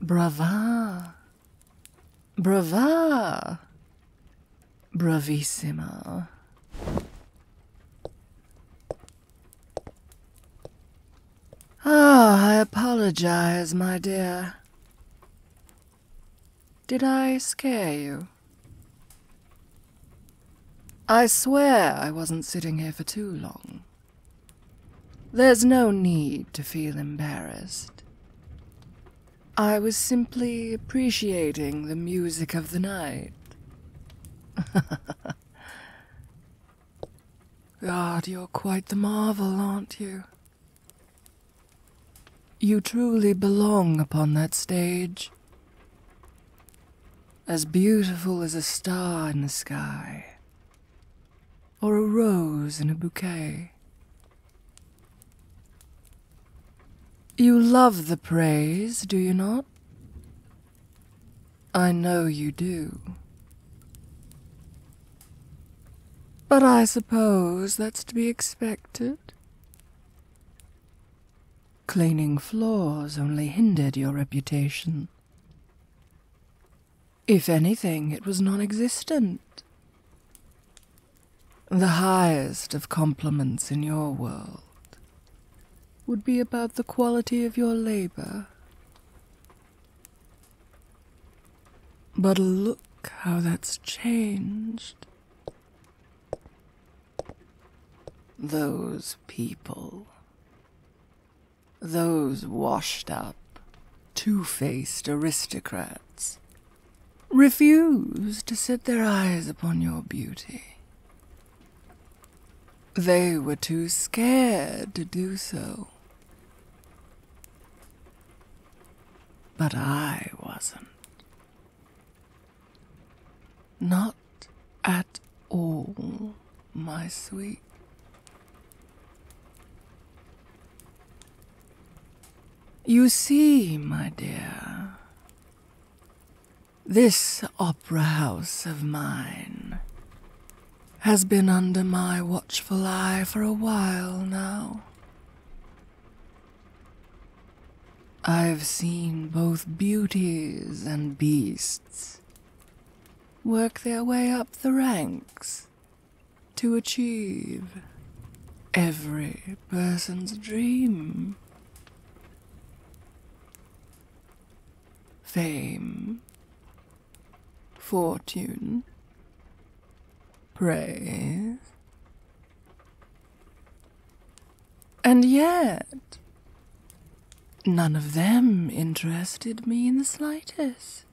Brava. Brava. Bravissima. Ah, I apologize, my dear. Did I scare you? I swear I wasn't sitting here for too long. There's no need to feel embarrassed. I was simply appreciating the music of the night. God, you're quite the marvel, aren't you? You truly belong upon that stage. As beautiful as a star in the sky, or a rose in a bouquet. You love the praise, do you not? I know you do. But I suppose that's to be expected. Cleaning floors only hindered your reputation. If anything, it was non existent. The highest of compliments in your world would be about the quality of your labor. But look how that's changed. Those people those washed up, two faced aristocrats, refused to set their eyes upon your beauty. They were too scared to do so. But I wasn't. Not at all my sweet. You see, my dear, this opera house of mine has been under my watchful eye for a while now. I've seen both beauties and beasts work their way up the ranks to achieve every person's dream. Fame, fortune, praise, and yet none of them interested me in the slightest.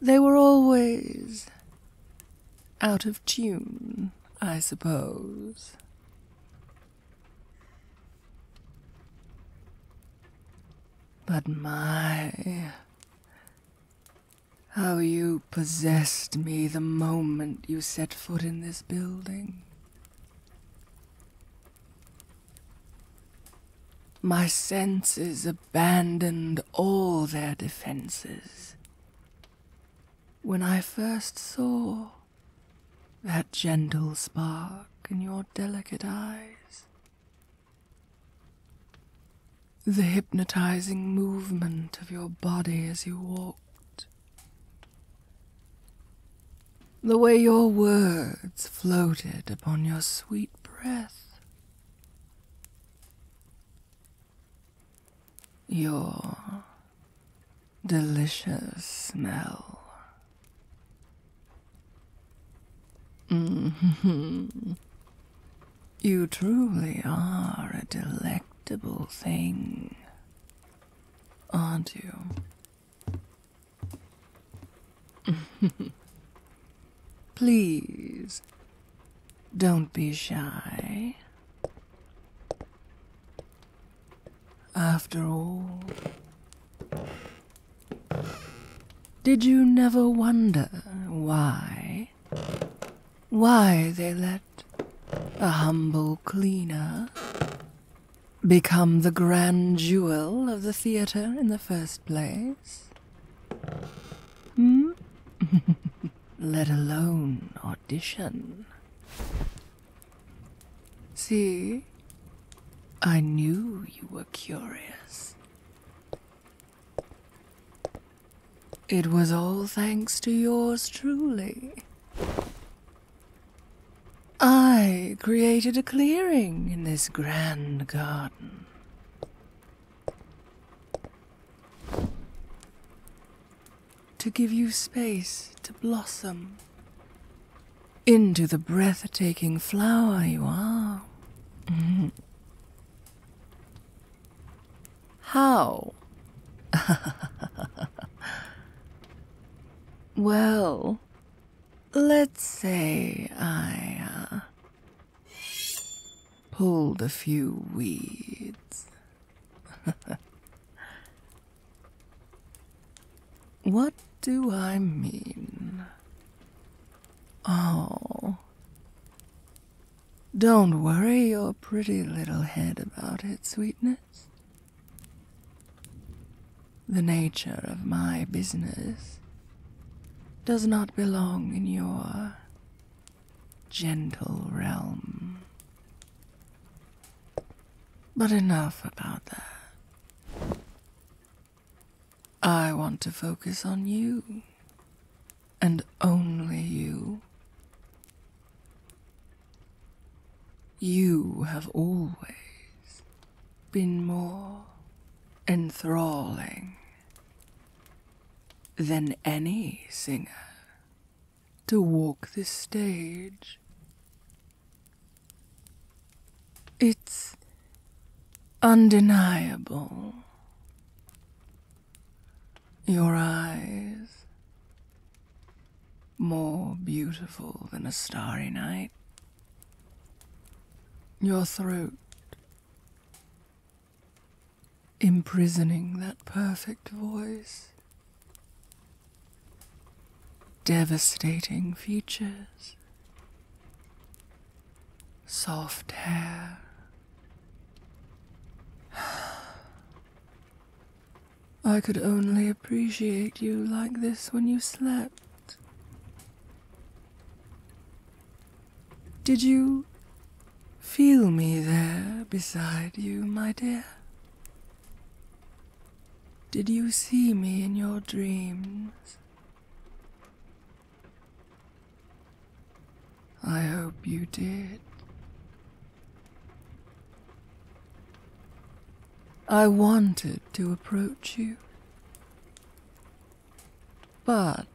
They were always out of tune, I suppose. But my, how you possessed me the moment you set foot in this building. My senses abandoned all their defenses when I first saw that gentle spark in your delicate eyes. The hypnotizing movement of your body as you walked the way your words floated upon your sweet breath, your delicious smell. Mm-hmm. You truly are a delectable thing, aren't you? Please, don't be shy. After all, did you never wonder why? Why they let a humble cleaner become the grand jewel of the theatre in the first place? Hmm? Let alone audition. See? I knew you were curious. It was all thanks to yours truly. I created a clearing in this grand garden. To give you space to blossom into the breathtaking flower you are. Mm-hmm. How? well, Let's say I uh, pulled a few weeds. what do I mean? Oh. Don't worry your pretty little head about it, sweetness. The nature of my business does not belong in your gentle realm. But enough about that. I want to focus on you, and only you. You have always been more enthralling than any singer to walk this stage. It's undeniable. Your eyes, more beautiful than a starry night, your throat, imprisoning that perfect voice, devastating features, soft hair. I could only appreciate you like this when you slept. Did you feel me there beside you, my dear? Did you see me in your dreams? I hope you did. I wanted to approach you. But,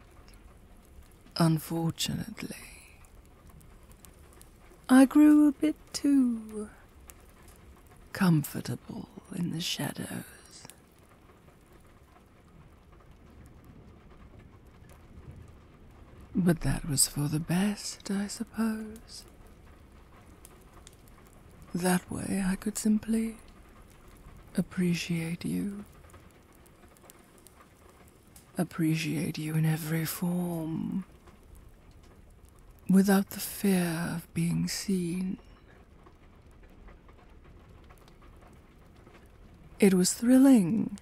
unfortunately, I grew a bit too comfortable in the shadows. But that was for the best, I suppose. That way I could simply appreciate you. Appreciate you in every form. Without the fear of being seen. It was thrilling.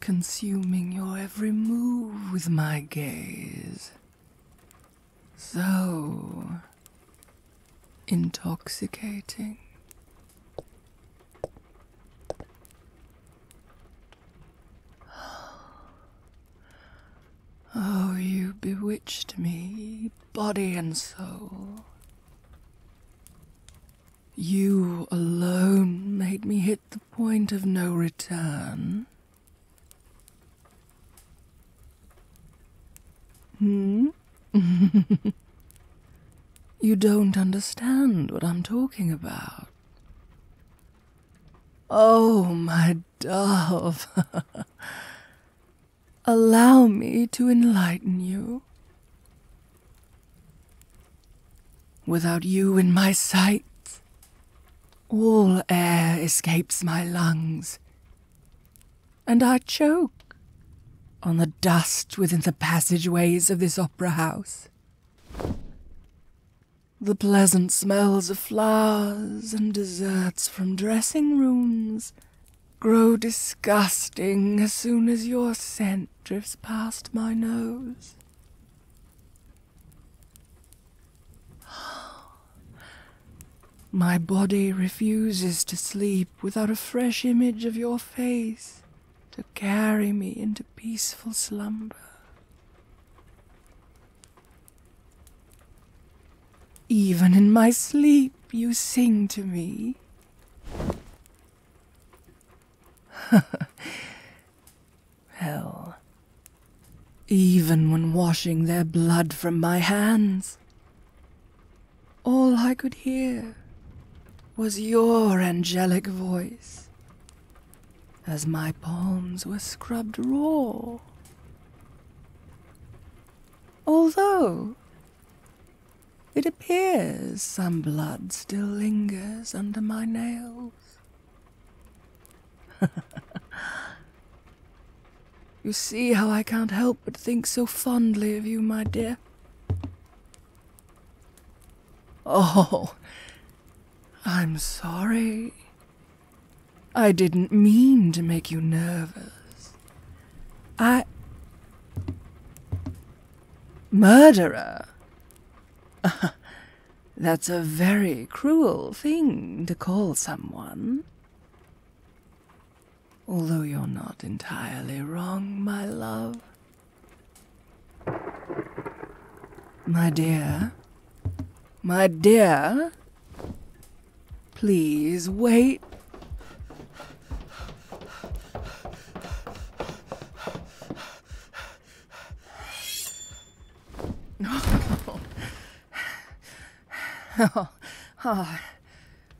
Consuming your every move with my gaze. So intoxicating. Oh, you bewitched me, body and soul. You alone made me hit the point of no return. Hmm? you don't understand what I'm talking about. Oh, my dove. Allow me to enlighten you. Without you in my sight, all air escapes my lungs and I choke on the dust within the passageways of this opera house. The pleasant smells of flowers and desserts from dressing rooms grow disgusting as soon as your scent drifts past my nose. My body refuses to sleep without a fresh image of your face to carry me into peaceful slumber. Even in my sleep, you sing to me. Hell, even when washing their blood from my hands. All I could hear was your angelic voice as my palms were scrubbed raw. Although it appears some blood still lingers under my nails. you see how I can't help but think so fondly of you, my dear. Oh, I'm sorry. I didn't mean to make you nervous. I. Murderer? That's a very cruel thing to call someone. Although you're not entirely wrong, my love. My dear, my dear, please wait. Oh, oh,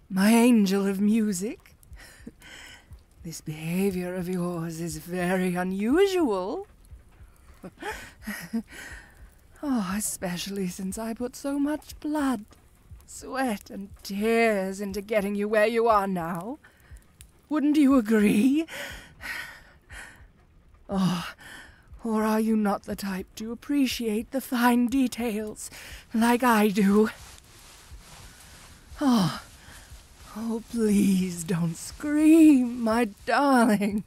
my angel of music. This behavior of yours is very unusual. oh, especially since I put so much blood, sweat, and tears into getting you where you are now. Wouldn't you agree? Ah, Ah, or are you not the type to appreciate the fine details like I do? Ah, oh, please don't scream, my darling.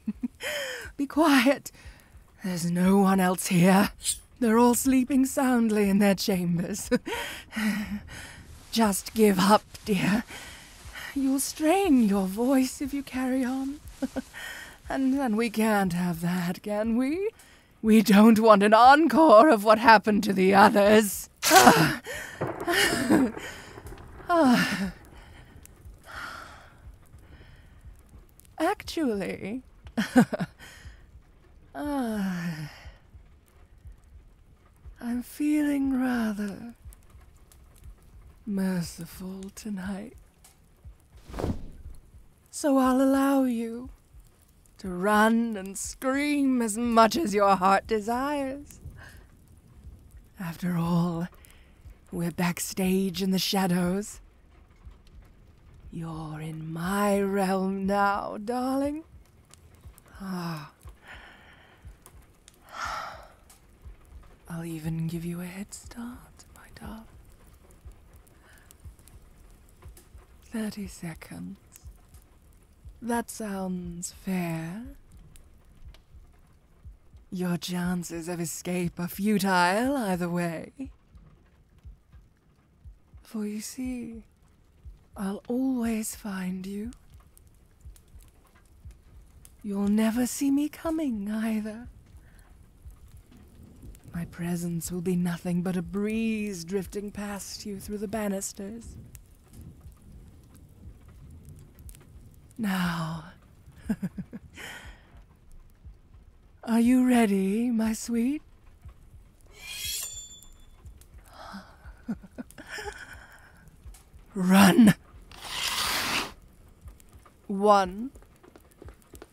Be quiet. There's no one else here. They're all sleeping soundly in their chambers. Just give up, dear. You'll strain your voice if you carry on. And then we can't have that, can we? We don't want an encore of what happened to the others. Ah. ah. Actually, ah. I'm feeling rather merciful tonight. So I'll allow you to run and scream as much as your heart desires. After all, we're backstage in the shadows. You're in my realm now, darling. Ah. I'll even give you a head start, my dove. 30 seconds. That sounds fair. Your chances of escape are futile either way. For you see, I'll always find you. You'll never see me coming either. My presence will be nothing but a breeze drifting past you through the banisters. Now, are you ready, my sweet? Run! One,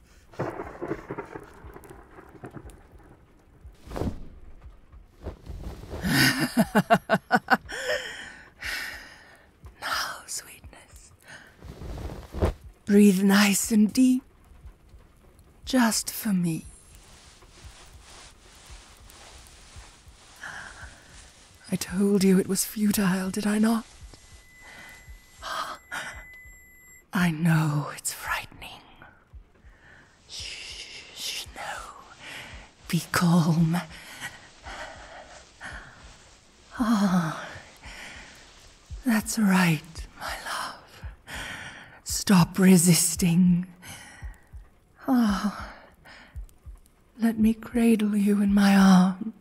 now, sweetness. Breathe nice and deep. Just for me. I told you it was futile, did I not? I know it's frightening. Shh, shh, no. Be calm. Ah, that's right, my love. Stop resisting. Ah, let me cradle you in my arms.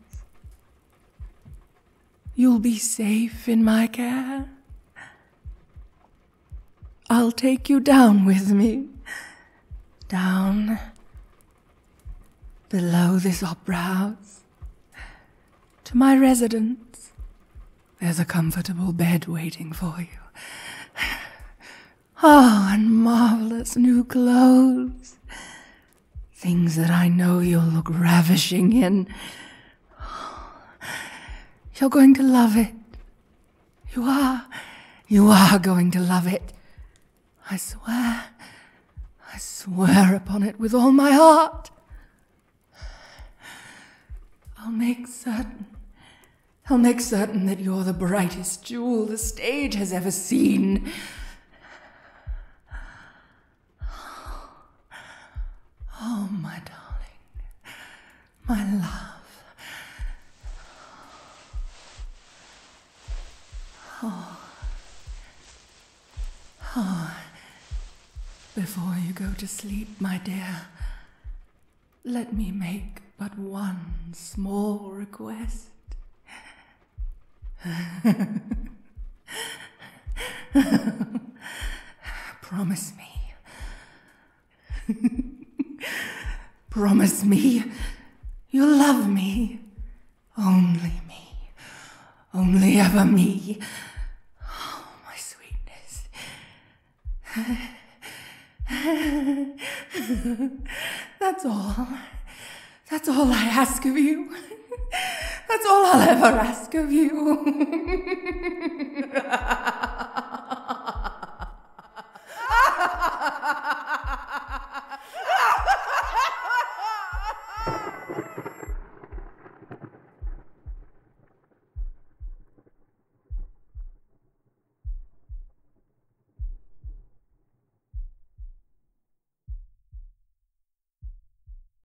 You'll be safe in my care. I'll take you down with me. Down below this opera house. To my residence. There's a comfortable bed waiting for you. Oh, and marvelous new clothes. Things that I know you'll look ravishing in. You're going to love it. You are. You are going to love it. I swear. I swear upon it with all my heart. I'll make certain. I'll make certain that you're the brightest jewel the stage has ever seen. Oh, oh my darling, my love. Oh. Oh. Before you go to sleep, my dear, let me make but one small request. Promise me. Promise me you'll love me. Only me. Only ever me. Oh, my sweetness. That's all. That's all I ask of you. That's all I'll ever ask of you.